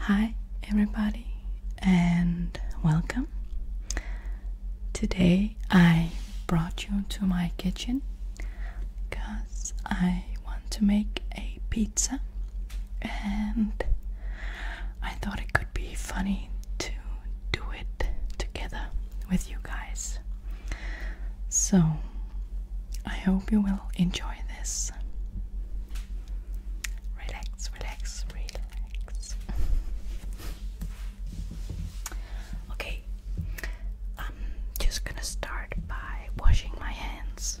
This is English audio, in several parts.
Hi, everybody, and welcome. Today I brought you to my kitchen because I want to make a pizza, and I thought it could be funny to do it together with you guys. So I hope you will enjoy this. Relax, relax, relax. okay, I'm just gonna start by washing my hands.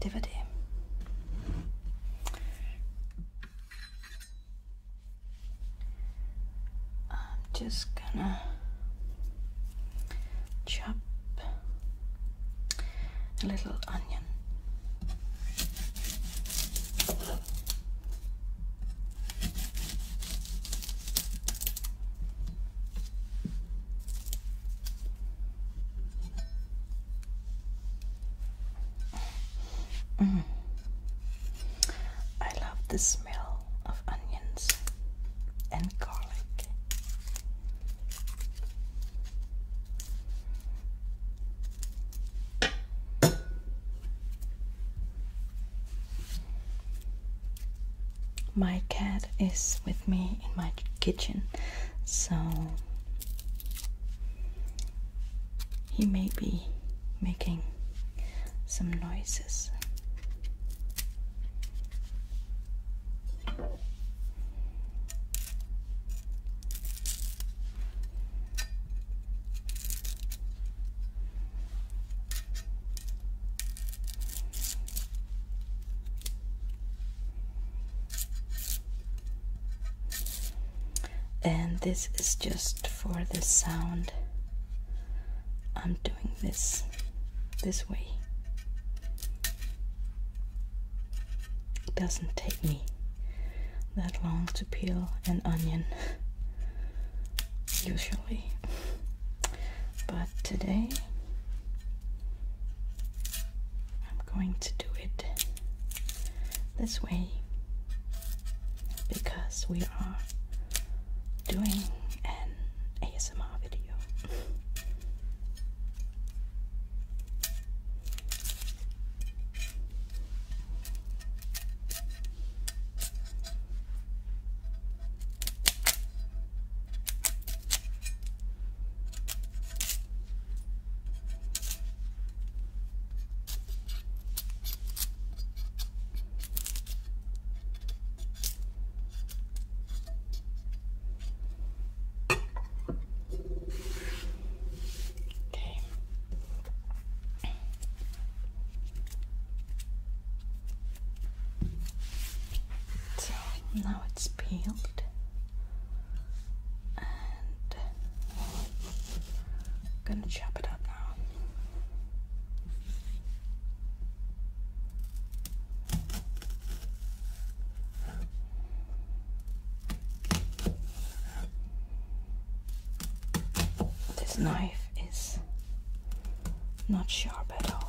DVD. I'm just gonna chop a little onion. Mm. I love the smell of onions and garlic. My cat is with me in my kitchen so he may be making some noises and this is just for the sound I'm doing this this way it doesn't take me that long to peel an onion usually but today I'm going to do it this way because we are doing an ASMR video. Okay. So now it's peeled gonna chop it up now. This knife is not sharp at all.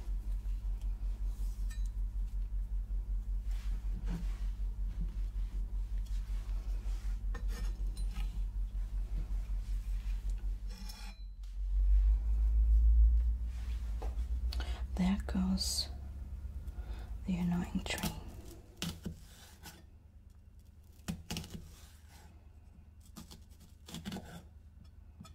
There goes the annoying train.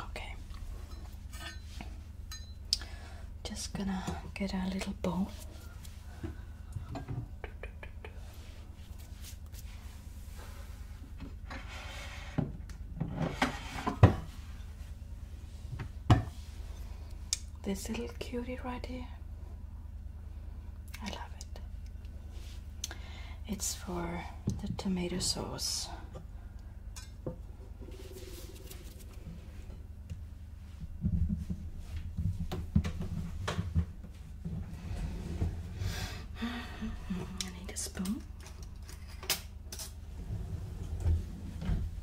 Okay. Just gonna get a little bone. This little cutie right here. I love it. It's for the tomato sauce. I need a spoon.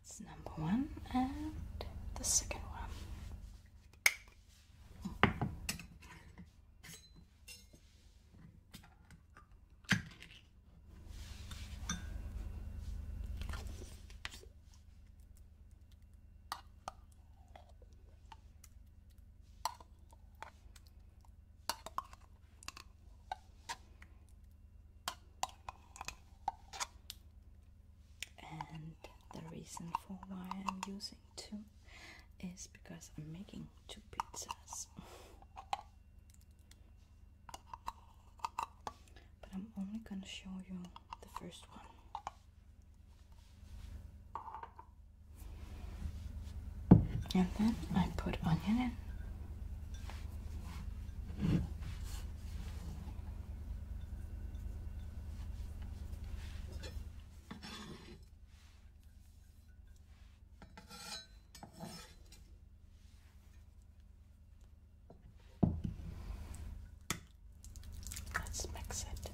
That's number one and the second one. And the reason for why I'm using too is because I'm making two pizzas. But I'm only gonna show you the first one. And then I put onion in. Let's mix it.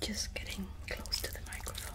Just getting close to the microphone.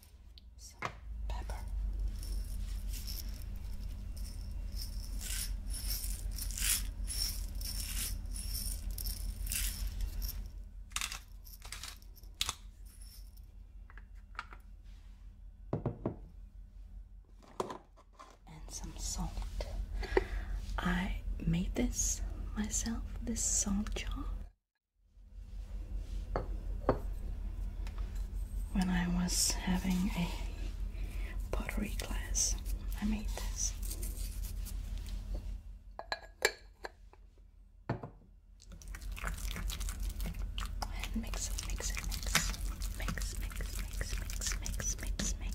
some pepper. And some salt. I made this myself, this salt jar. When I was having a pottery class, I made this. And mix it, mix it, mix. Mix, mix, mix, mix, mix, mix, mix.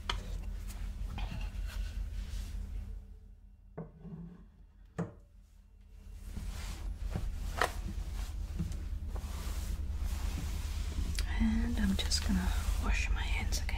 And I'm just gonna wash my hands again.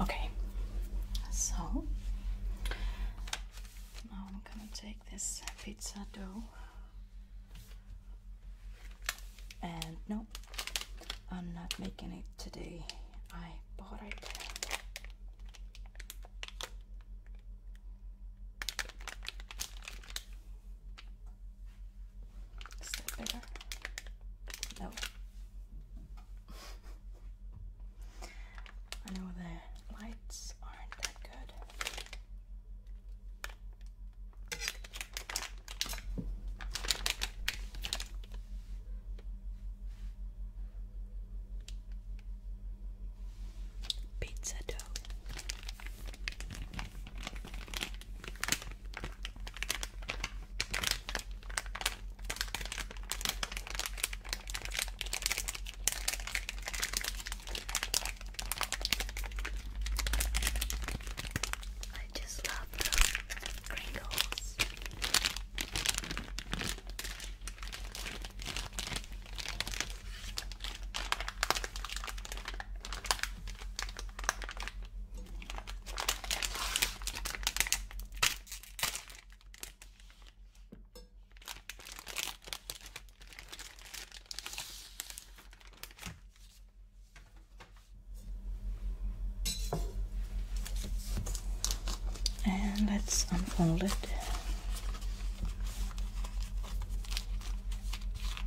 Okay, so now I'm gonna take this pizza dough and no, I'm not making it today. I bought it. No. I know the lights aren't that good. Pizza dough. I just love the crinkles. And let's unfold it.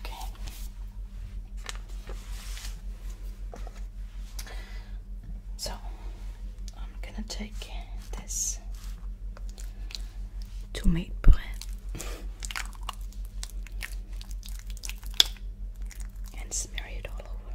Okay. So I'm gonna take this to make bread and smear it all over.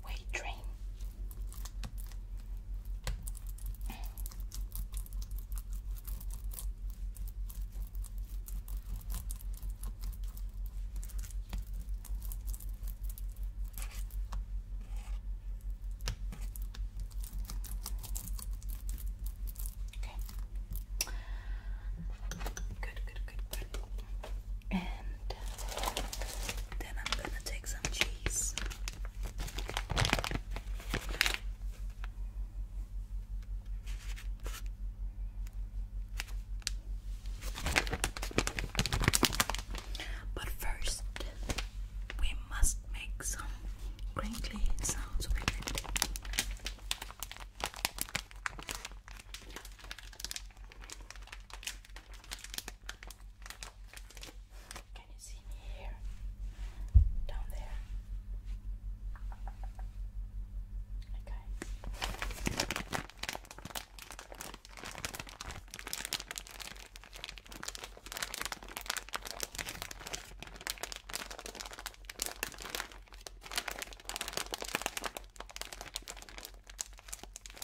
your weight train. Okay. Good, good, good, good and then I'm gonna take some cheese. But first, we must make some crinkly sounds with can you see me here? Down there. Okay.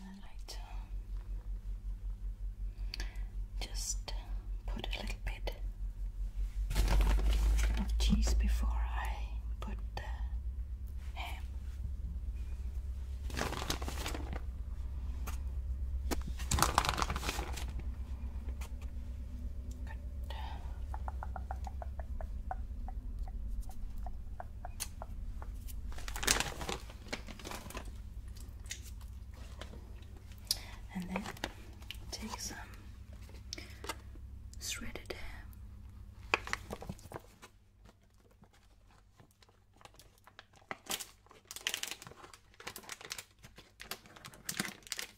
Um, just put a little bit of cheese before I put the ham. And then take some shredded hair.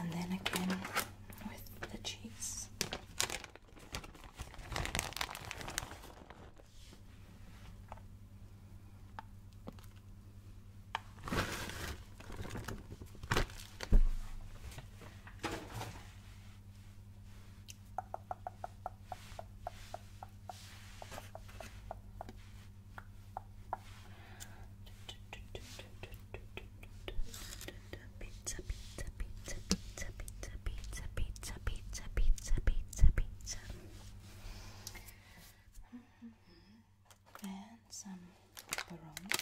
And then again with the cheese. Pizza, pizza, pizza, pizza, pizza, pizza, pizza, pizza, pizza, pizza, pizza. Mm -hmm. And some pepperoni.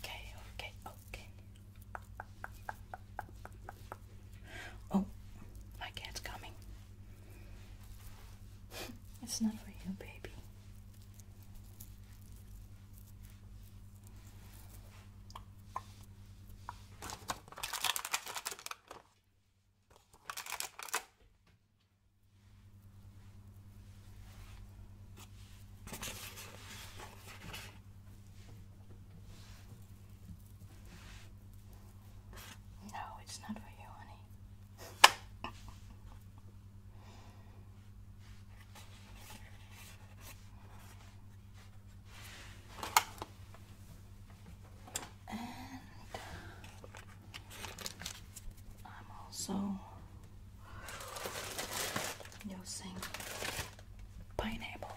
Okay, okay, okay. Oh, my cat's coming it's not for you, baby. No, it's not for you, honey and I'm also using pineapple.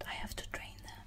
And I have to drain them.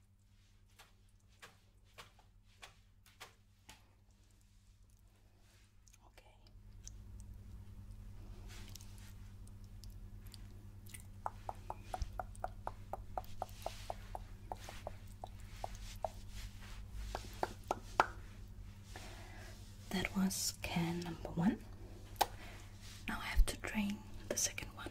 Okay. That was can number one. Now I have to drain the second one.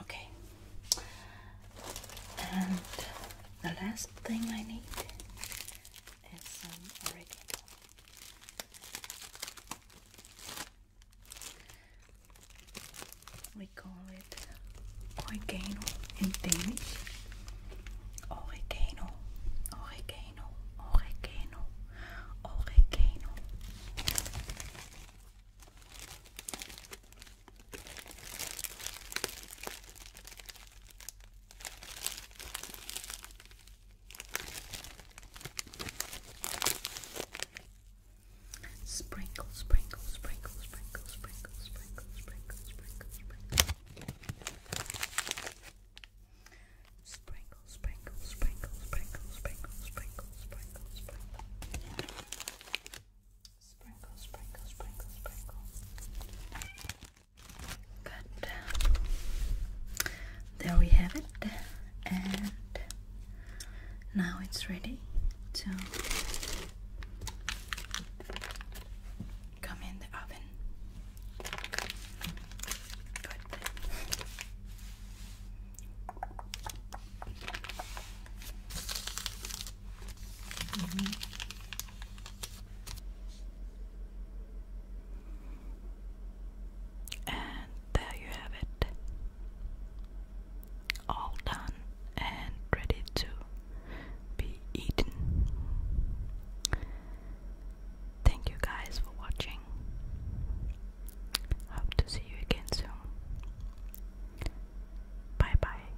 Okay, and the last thing I need and some oregano. We call it oregano in Danish. Oregano, oregano, oregano, oregano. Sprinkle, sprinkle, sprinkle, sprinkle, sprinkle, sprinkle, sprinkle, sprinkle, sprinkle. Sprinkle, sprinkle, sprinkle, sprinkle, sprinkle, sprinkle, sprinkle, sprinkle. Sprinkle, sprinkle, sprinkle, sprinkle. There we have it. And now it's ready to come in the oven. And there you have it. All done and ready to be eaten. Thank you guys for watching. Hope to see you again soon. Bye bye.